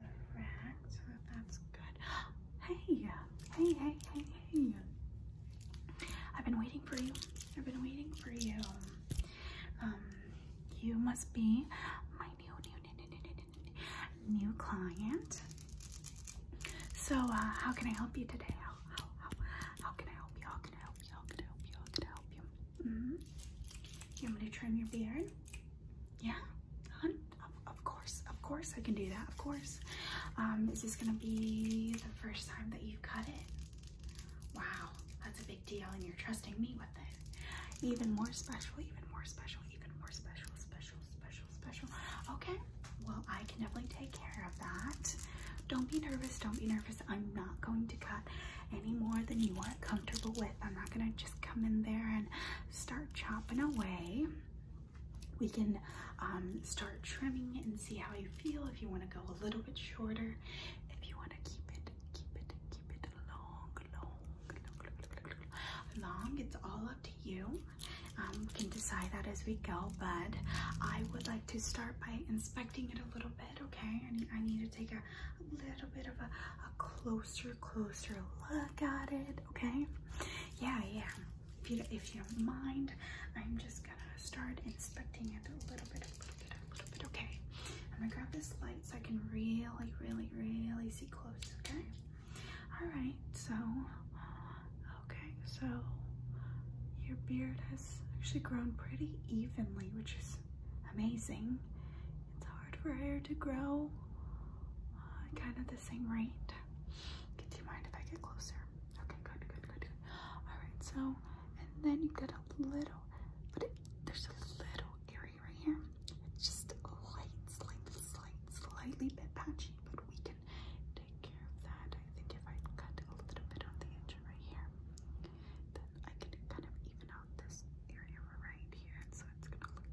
Correct. That's good. Hey, hey, hey, hey, hey. I've been waiting for you. I've been waiting for you. Um, you must be my new, new, new, new, new, new client. So, uh, how can I help you today? How, how, how, how can I help you? How can I help you? How can I help you? How can I help you? Mm -hmm. You want me to trim your beard? Yeah, of, course, of course I can do that, of course. Um, is this gonna be the first time that you cut it? Wow, that's a big deal and you're trusting me with it. Even more special, even more special, even more special, special, special, special. Okay, well I can definitely take care of that. Don't be nervous, don't be nervous. I'm not going to cut any more than you are comfortable with. I'm not gonna just come in there and start chopping away. We can um, start trimming and see how you feel. If you want to go a little bit shorter, if you want to keep it, keep it, keep it long, long, long, It's all up to you. Um, we can decide that as we go, but I would like to start by inspecting it a little bit, okay? I need, to take a, little bit of a closer, closer look at it okay? Yeah, yeah. If you, if you don't mind, I'm just gonna start inspecting it a little bit, a little bit, a little bit, okay? I'm gonna grab this light so I can really, really, really see close, okay? All right, so, okay, so your beard has actually grown pretty evenly, which is amazing. It's hard for hair to grow uh, kind of this same rate. do you mind if I get closer? Okay, good, good, good, good. All right, so, and then you get a little, but there's a little area right here. It's just a light, slightly bit patchy, but we can take care of that. I think if I cut a little bit on the edge right here, then I can kind of even out this area right here, so it's gonna look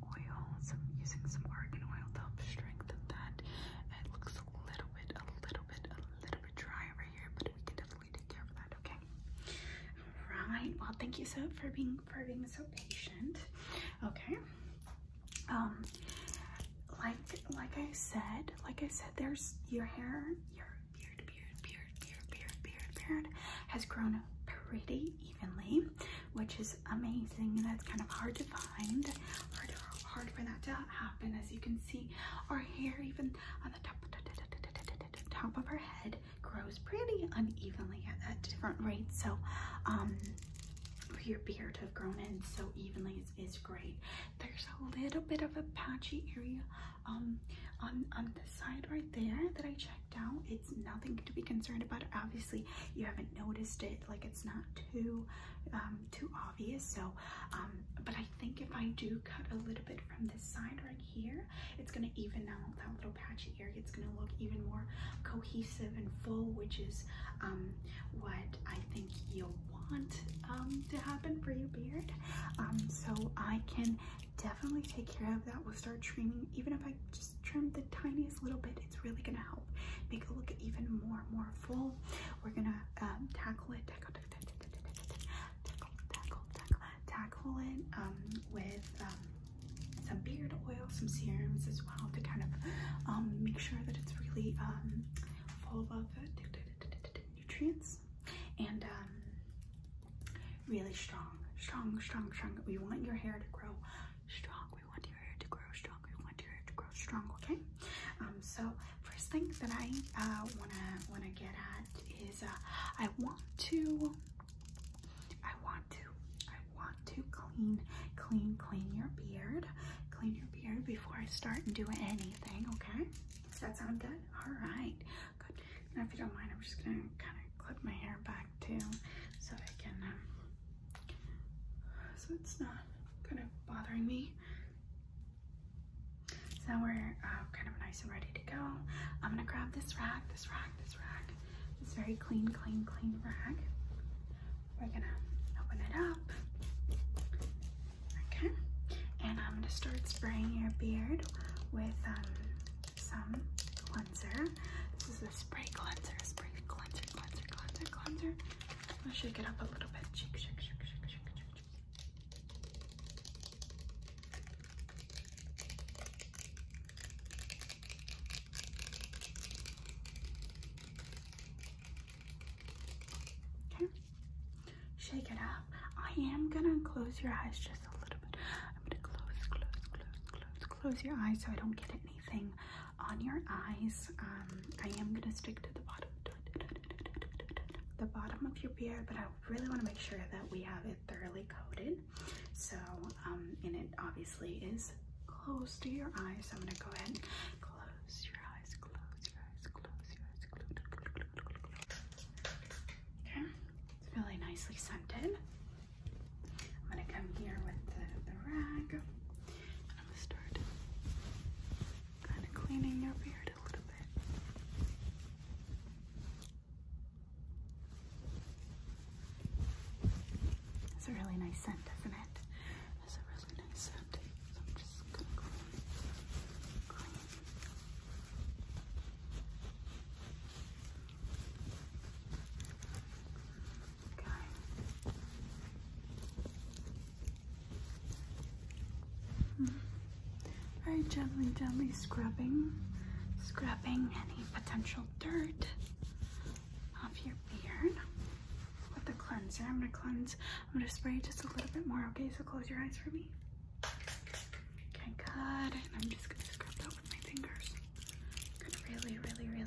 oil, some using some argan oil to help strengthen that. it looks a little bit, a little bit, a little bit dry over here, but we can definitely take care of that, okay? Alright, well thank you so for being for being so patient. Okay. Um like like I said, like I said, there's your hair, your beard, beard, beard, beard, beard, beard, beard has grown pretty evenly which is amazing. That's kind of hard to find, hard, for that to happen. As you can see, our hair, even on the top, of her head, grows pretty unevenly at, different rates. So, um, for your beard to have grown in so evenly is, great. There's a little bit of a patchy area um, on the side right there that I checked out. It's nothing to be concerned about. Obviously, you haven't noticed it like it's not too um, too obvious so um, but i think if i do cut a little bit from this side right here it's going to even out that little patchy area it's going to look even more cohesive and full which is um, what i think you want to happen for your beard so i can definitely take care of that we'll start trimming even if i just trim the tiniest little bit it's really gonna help make it look even more more full. We're gonna um, tackle it, tackle, tackle, tackle, tackle, tackle, it um, with um, some beard oil, some serums as well to kind of make sure that it's really full of uh, nutrients and really strong, strong, strong, strong. We want your hair to grow strong want your hair to grow strong. want your hair to grow strong, okay? Um, so first thing that I uh, wanna wanna get at is uh, I want to, I want to, I want to clean, clean, clean your beard, clean your beard before I start doing anything, okay? Does that sound good? All right, good. if you don't mind, I'm just gonna kind of clip my hair back too, so I can. Um, so it's not kind of bothering me. Now we're uh, kind of nice and ready to go. I'm gonna grab this rag, this rag, this rag, this very clean, clean, clean rag. We're gonna open it up. Okay, and I'm gonna start spraying your beard with um, some cleanser. This is a spray cleanser, spray cleanser, cleanser, cleanser, cleanser. I'll shake it up a little bit. Shake, shake, shake, shake, shake, shake. Okay. Shake it up. I am gonna close your eyes just a little bit. I'm gonna close, close, close, close, close your eyes so I don't get anything on your eyes. Um, I am gonna stick to the bottom, the bottom of your beard, but I really want to make sure that we have it thoroughly coated. So, um, and it obviously is close to your eyes. So I'm gonna go ahead and close your eyes, close your eyes, close your eyes, Okay, it's really nicely scented. I'm gonna come here with the rag. I'm gonna start kind of cleaning your beard a little bit. It's a really nice scent, isn't it? It's a really nice scent. Okay. Very gently, gently scrubbing, scrubbing any potential dirt off your beard with the cleanser. I'm gonna cleanse, I'm gonna spray just a little bit more, okay? So close your eyes for me. Okay, good. I'm just gonna scrub that with my fingers. really, really, really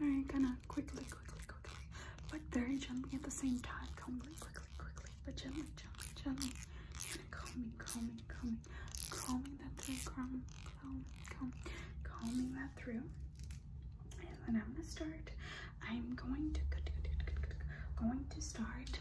I'm gonna quickly, quickly, quickly, but very gently at the same time. Calmly, quickly, quickly, but gently, gently, gently. And calming, calming, calming, that through, calm, calm, calm, that through. And then I'm gonna start. I'm going to, going to start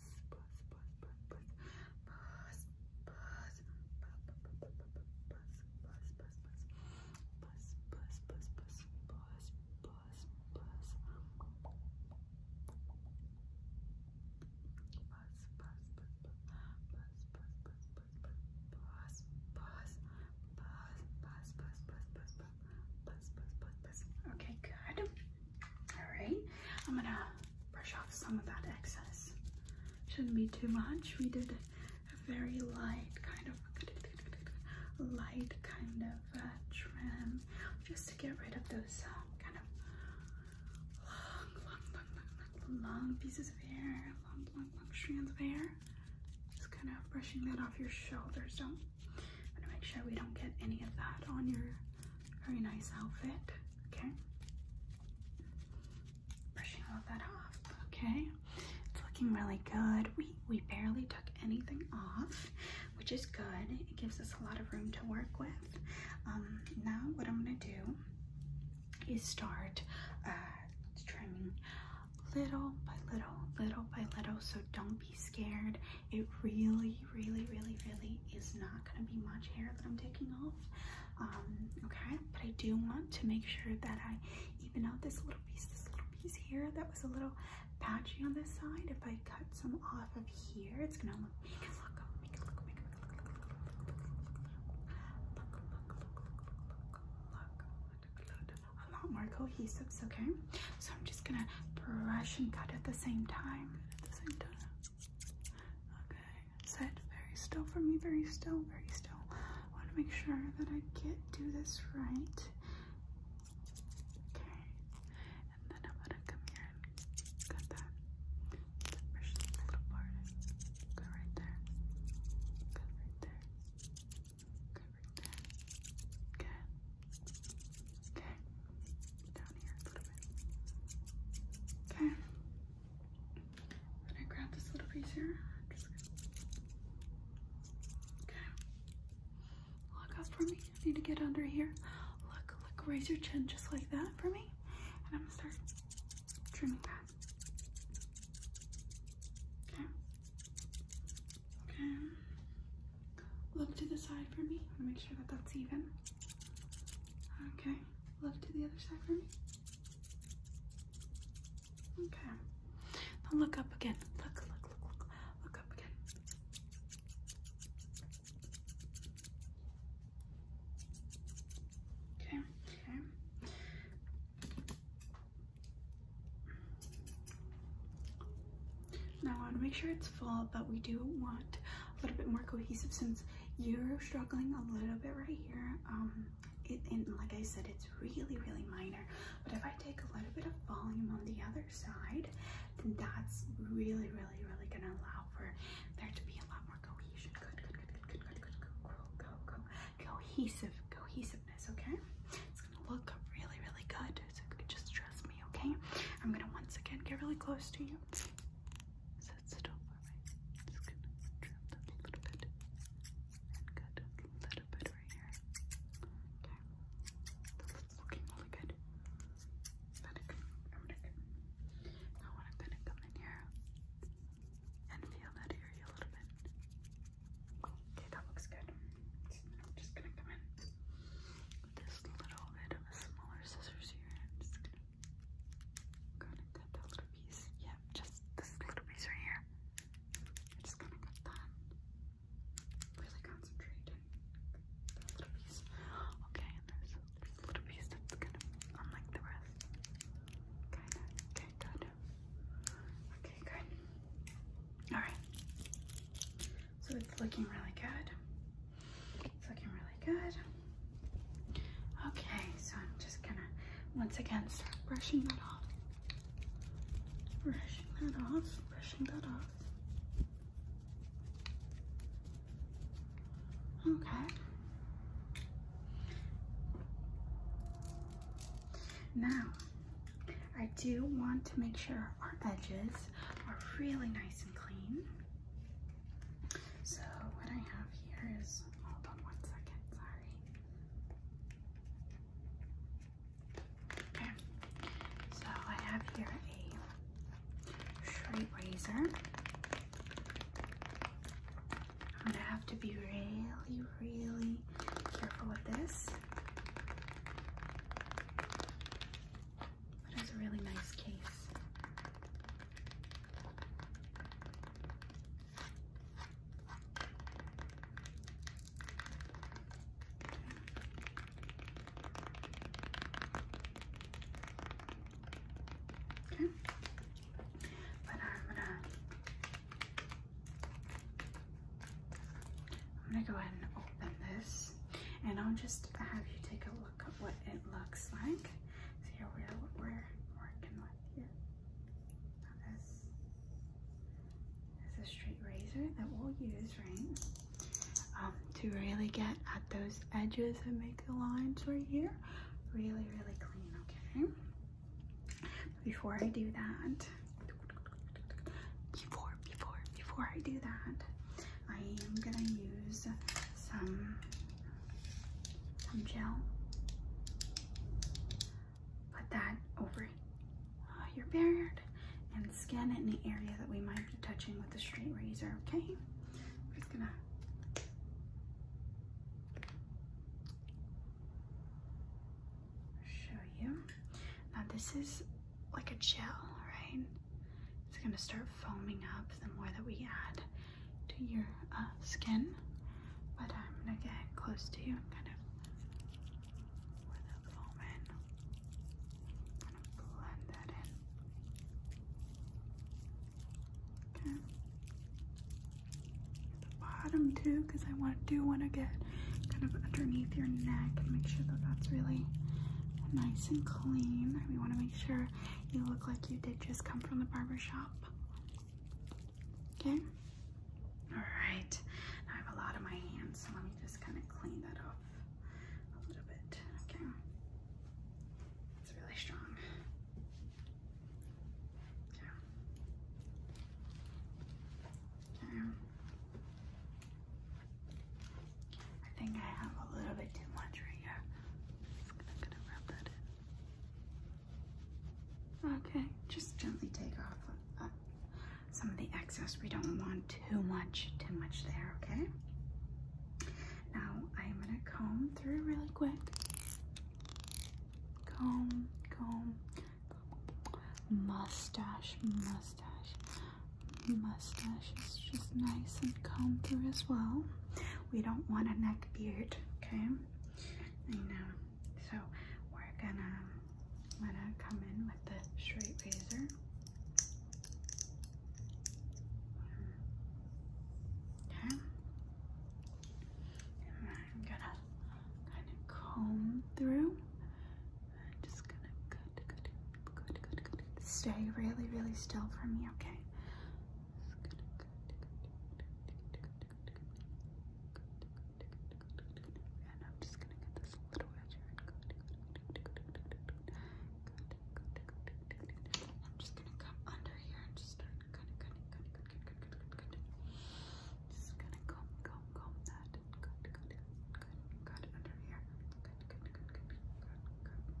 buzz buzz buzz buzz. Okay, good. All right, I'm gonna brush off some of that excess. Shouldn't be too much. We did a very light kind of light kind of uh, trim just to get rid of those uh, kind of long, long, long, long, long, long pieces of hair, long, long, long strands of hair. Just kind of brushing that off your shoulders. Don't am to make sure we don't get any of that on your very nice outfit. Okay. Brushing all that off. Okay. It's looking really good. We we barely took anything off, which is good. It gives us a lot of room to work with. Um, now what I'm gonna do is start uh, trimming little by little, little by little. So don't be scared it really, really, really, really is not going to be much hair that I'm taking off. okay, but I do want to make sure that I even out this little piece, this little piece here that was a little patchy on this side. If I cut some off of here, it's going to look, make it look, a lot more cohesive, okay? So I'm just going to brush and cut at the same time. Okay, sit very still for me, very still, very still. I want to make sure that I get do this right. Okay, and then I'm gonna come here and cut that. Then this little part. Go right there. Go right there. Go right there. Good. Okay. Now down here i grab this little piece here. okay. Look up for me. need to get under here. Look, look, raise your chin just like that for me. And I'm gonna start trimming that. Okay. Okay. Look to the side for me. I want to make sure that that's even. Okay, left to the other side for me. Okay. Now look up again. Look, look, look, look. Look up again. Okay, okay. Now I want to make sure it's full, but we do want a little bit more cohesive since you're struggling a little bit right here. Um, and like I said, it's really, really minor. But if I take a little bit of volume on the other side, then that's really, really, really gonna allow for there to be a lot more cohesion. Good, good, good, good, good, good, good, good, go, go, go, cohesive, cohesiveness. Okay, it's gonna look really, really good. So just trust me, okay? I'm gonna once again get really close to you. So sit still for me. Just gonna trim that a little bit and a little bit right here. Okay, that's looking really good. I'm gonna come, I'm gonna come. in here and feel that area a little bit. Okay, that looks good. just gonna come in this little bit of a smaller scissors here. I'm going that little piece. Yeah, just this little piece right here. just gonna cut that. Really concentrate that little piece. Okay, and there's little piece that's kind of unlike the rest. kind Okay, good. Okay, good. Alright. So it's looking really good. It's looking really good. Okay, so I'm just gonna once again start brushing that off. Brushing that off, brushing that off. Okay. Now, I do want to make sure our edges are really nice and clean. So what I have here is, hold on one second, sorry. Okay, so I have here a straight razor. I'm gonna have to be really, really careful with this. That is a really nice case. Okay. okay. Uh, uh, I'm gonna go ahead and open this, and I'll just have you take a look at what it looks like. So here we are, what we're working with here. Now this is a straight razor that we'll use, right? Um, to really get at those edges and make the lines right here really, really clean, okay? Before I do that, before, before, before I do that, I am gonna use some some gel. Put that over uh, your beard and skin in the area that we might be touching with the straight razor, okay? We're just gonna show you. Now this is like a gel, right? It's gonna start foaming up the more that we add to your uh, skin, but I'm gonna get close to you and kind of pour the foam in, kind of blend that in. Okay. The bottom too, because I want do want to get kind of underneath your neck and make sure that that's really nice and clean. We want to make sure you look like you did just come from the barber shop. Okay? Alright. I have a lot on my hands, so let me just kind of clean that off a little bit. Okay. It's really strong. Okay. Okay. I think I have a little bit too much right here. Okay, just gently take off uh, some of the excess. We don't want too much, too much there, okay? Now I'm gonna comb through really quick. Comb, comb, mustache, mustache, mustache is just nice and comb through as well we don't want a neck beard okay I know so we're gonna gonna come in with the straight razor okay I'm gonna kind of comb through just gonna good good good good good stay really really still for me okay and I'm just gonna get this little edge here. I'm just gonna come under here and just start cutting, cutting, cutting, cutting, cutting, cutting, cutting. Just gonna comb, comb, comb that. Cut, cut, cut, cut under here. Cut, cut, cut, cut, cut, cut,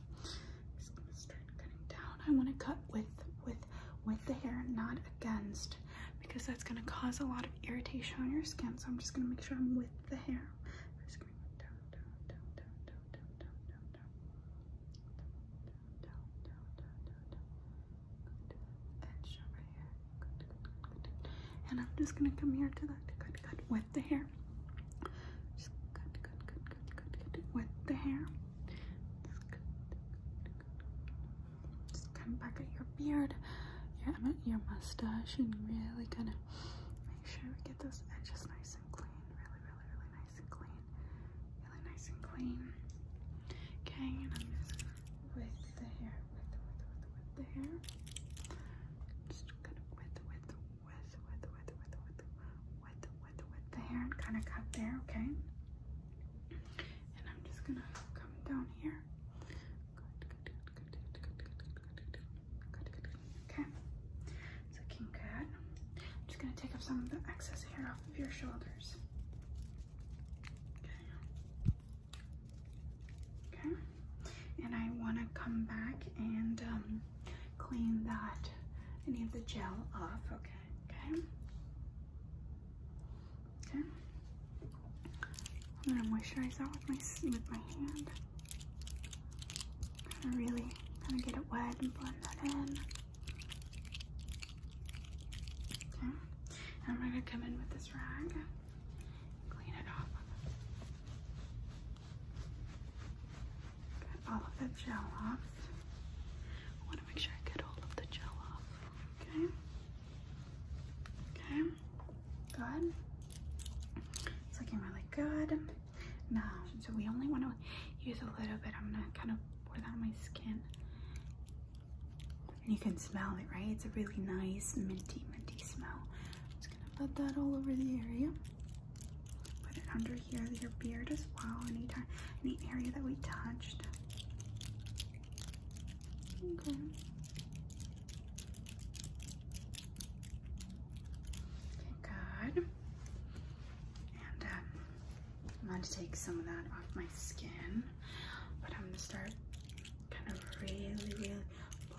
just gonna start cutting down. I want to cut with with with the hair, not against, because that's gonna cause a lot of irritation on your skin. So I'm just gonna make sure I'm with the hair. I'm just gonna go down, down, down, down, down, down, down, down, down, down, down, down, down, down. Good. Edge over here. Good, good, good, good. And I'm just gonna come here to that. Good, good. With the hair. Just good, good, good, good, good, good. With the hair. Just, good, back at your beard, your, your mustache, and really kind of make sure we get those edges nice and clean. Really, really, really nice and clean. Really nice and clean. Okay, and I'm just with the hair, with, with, with, with the hair. Just kind of with, with, with, with, with, with, with, with, with the hair and kind of cut there, okay? And I'm just gonna come down here. Okay, it's looking good. I'm just gonna take off some of the excess hair off of your shoulders. Okay. Okay. And I wanna come back and um, clean that any of the gel off. Okay. Okay. Okay. I'm gonna moisturize out with my with my hand. Kind really kind of get it wet and blend that in. Okay. And I'm gonna come in with this rag. Clean it off. Get all of the gel off. I want to make sure I get all of the gel off. Okay. Okay. Good. It's looking really good. Now, so we only want to use a little bit. I'm gonna kind of pour that on my skin. And you can smell it, right? It's a really nice minty, minty smell. I'm just gonna put that all over the area. Put it under here, your beard as well, any, any area that we touched. Okay. good. And um, I'm going to take some of that off my skin, but I'm going to start kind of really, really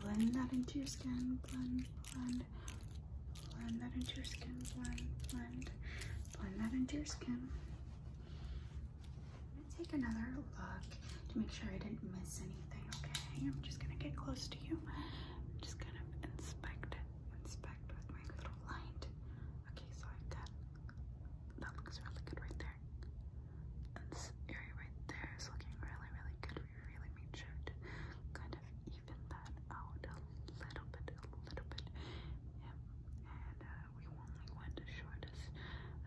blend that into your skin. Blend, blend, blend that into your skin. Blend, blend blend that into your skin. I'm gonna take another look to make sure I didn't miss anything, okay? I'm just gonna get close to you. I'm just gonna inspect it, inspect with my little light. Okay, so I've got, that looks really good right there. And this area right there is looking really, really good. We really made sure to kind of even that out a little bit, a little bit. Yeah, and uh, we only went as short as,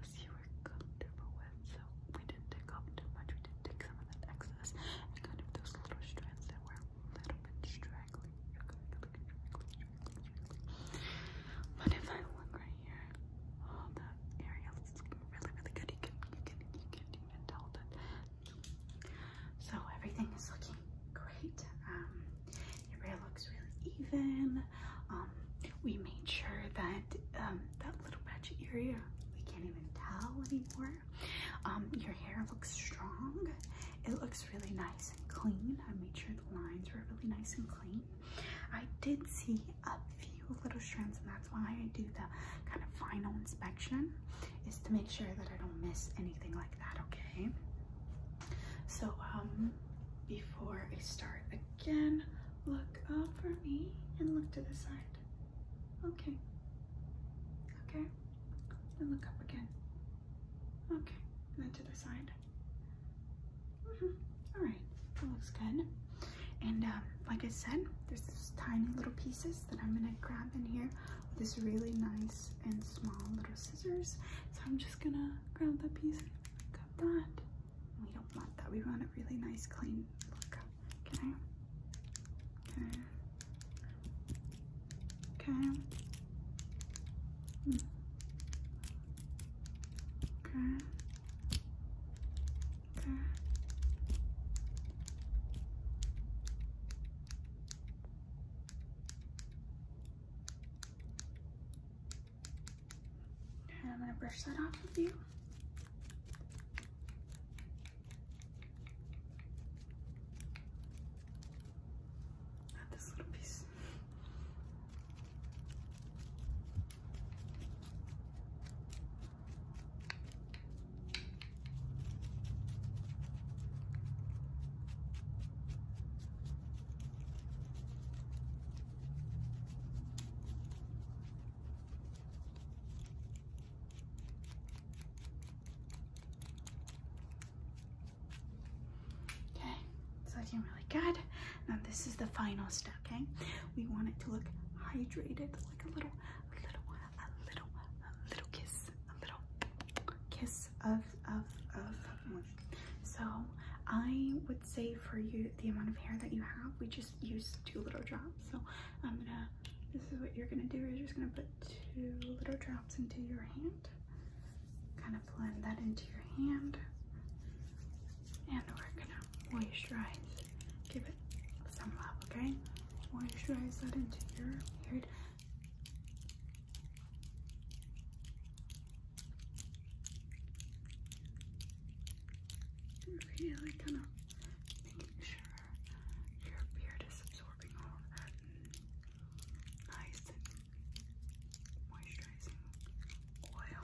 as you were comfortable with, so we didn't take off too much, we did take some of that excess, kind of those little strands that were a little bit straggly, But if I look right here, all oh, that area is really, really good, you can, you can, you can even tell that. So everything is looking great. Um, your hair looks really even. Um, we made sure that um, that little patch area we can't even tell anymore. Um, your hair looks strong. It looks really nice and clean. I made sure the lines were really nice and clean. I did see a few little strands and that's why I do the kind of final inspection is to make sure that I don't miss anything like okay? So, um, before I start again, look up for me and look to the side. Okay. Okay. And look up again. Okay. And then to the side. Mm-hmm. All right. That looks good. And um, like I said, there's these tiny little pieces that I'm gonna grab in here with this really nice and small little scissors. So I'm just just gonna grab that piece and cut that. We don't want that. We want a really nice, clean look. Okay. Okay. Okay. Mm. Okay. Okay. I'm gonna brush that off of you. Not this little piece. Okay, so looking really good. Now this is the final step, okay? We want it to look hydrated, like a little, little, a little, little kiss, a little kiss of of of So I would say for you the amount of hair that you have, we just use two little drops. So I'm gonna. This is what you're gonna do. Is you're just gonna put two little drops into your hand. Kind of blend that into your hand, and we're gonna moisturize. Give it some love, okay? Moisturize that into your beard. Really kind of making sure your beard is absorbing all that nice moisturizing oil.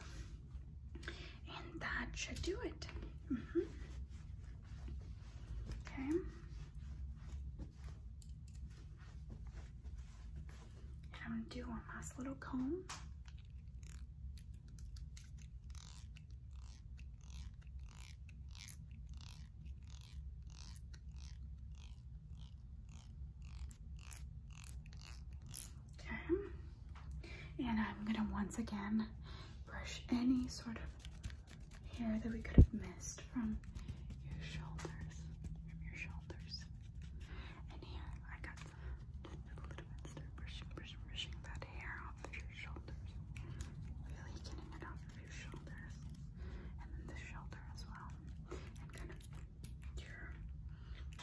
And that should do it. Mm -hmm. Okay. And I'm going to do one last little comb. Okay. And I'm going to once again brush any sort of hair that we could have missed from your shoulders, from your shoulders. And here I got a little bit, start brushing, brushing that hair off of your shoulders. Really getting it off of your shoulders. And then the shoulder as well. And kind of your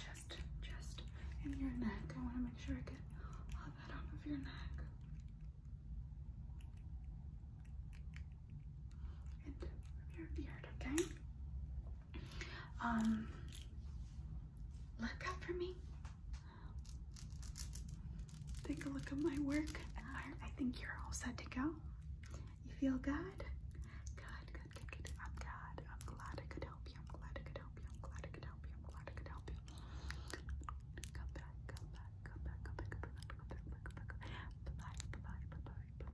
chest, chest, and your neck. I want to make sure I get all that off of your neck. And your beard, okay? Um, look up for me. Take a look at my work I think you're all set to go. You feel good? Good, good, good, I'm glad. I'm glad I could help you. I'm glad I could help you. I'm glad I could help you. I'm glad I could help you. Come back, come back, come back, come back, come back, come back, come back, come back. Bye-bye, bye-bye, bye-bye.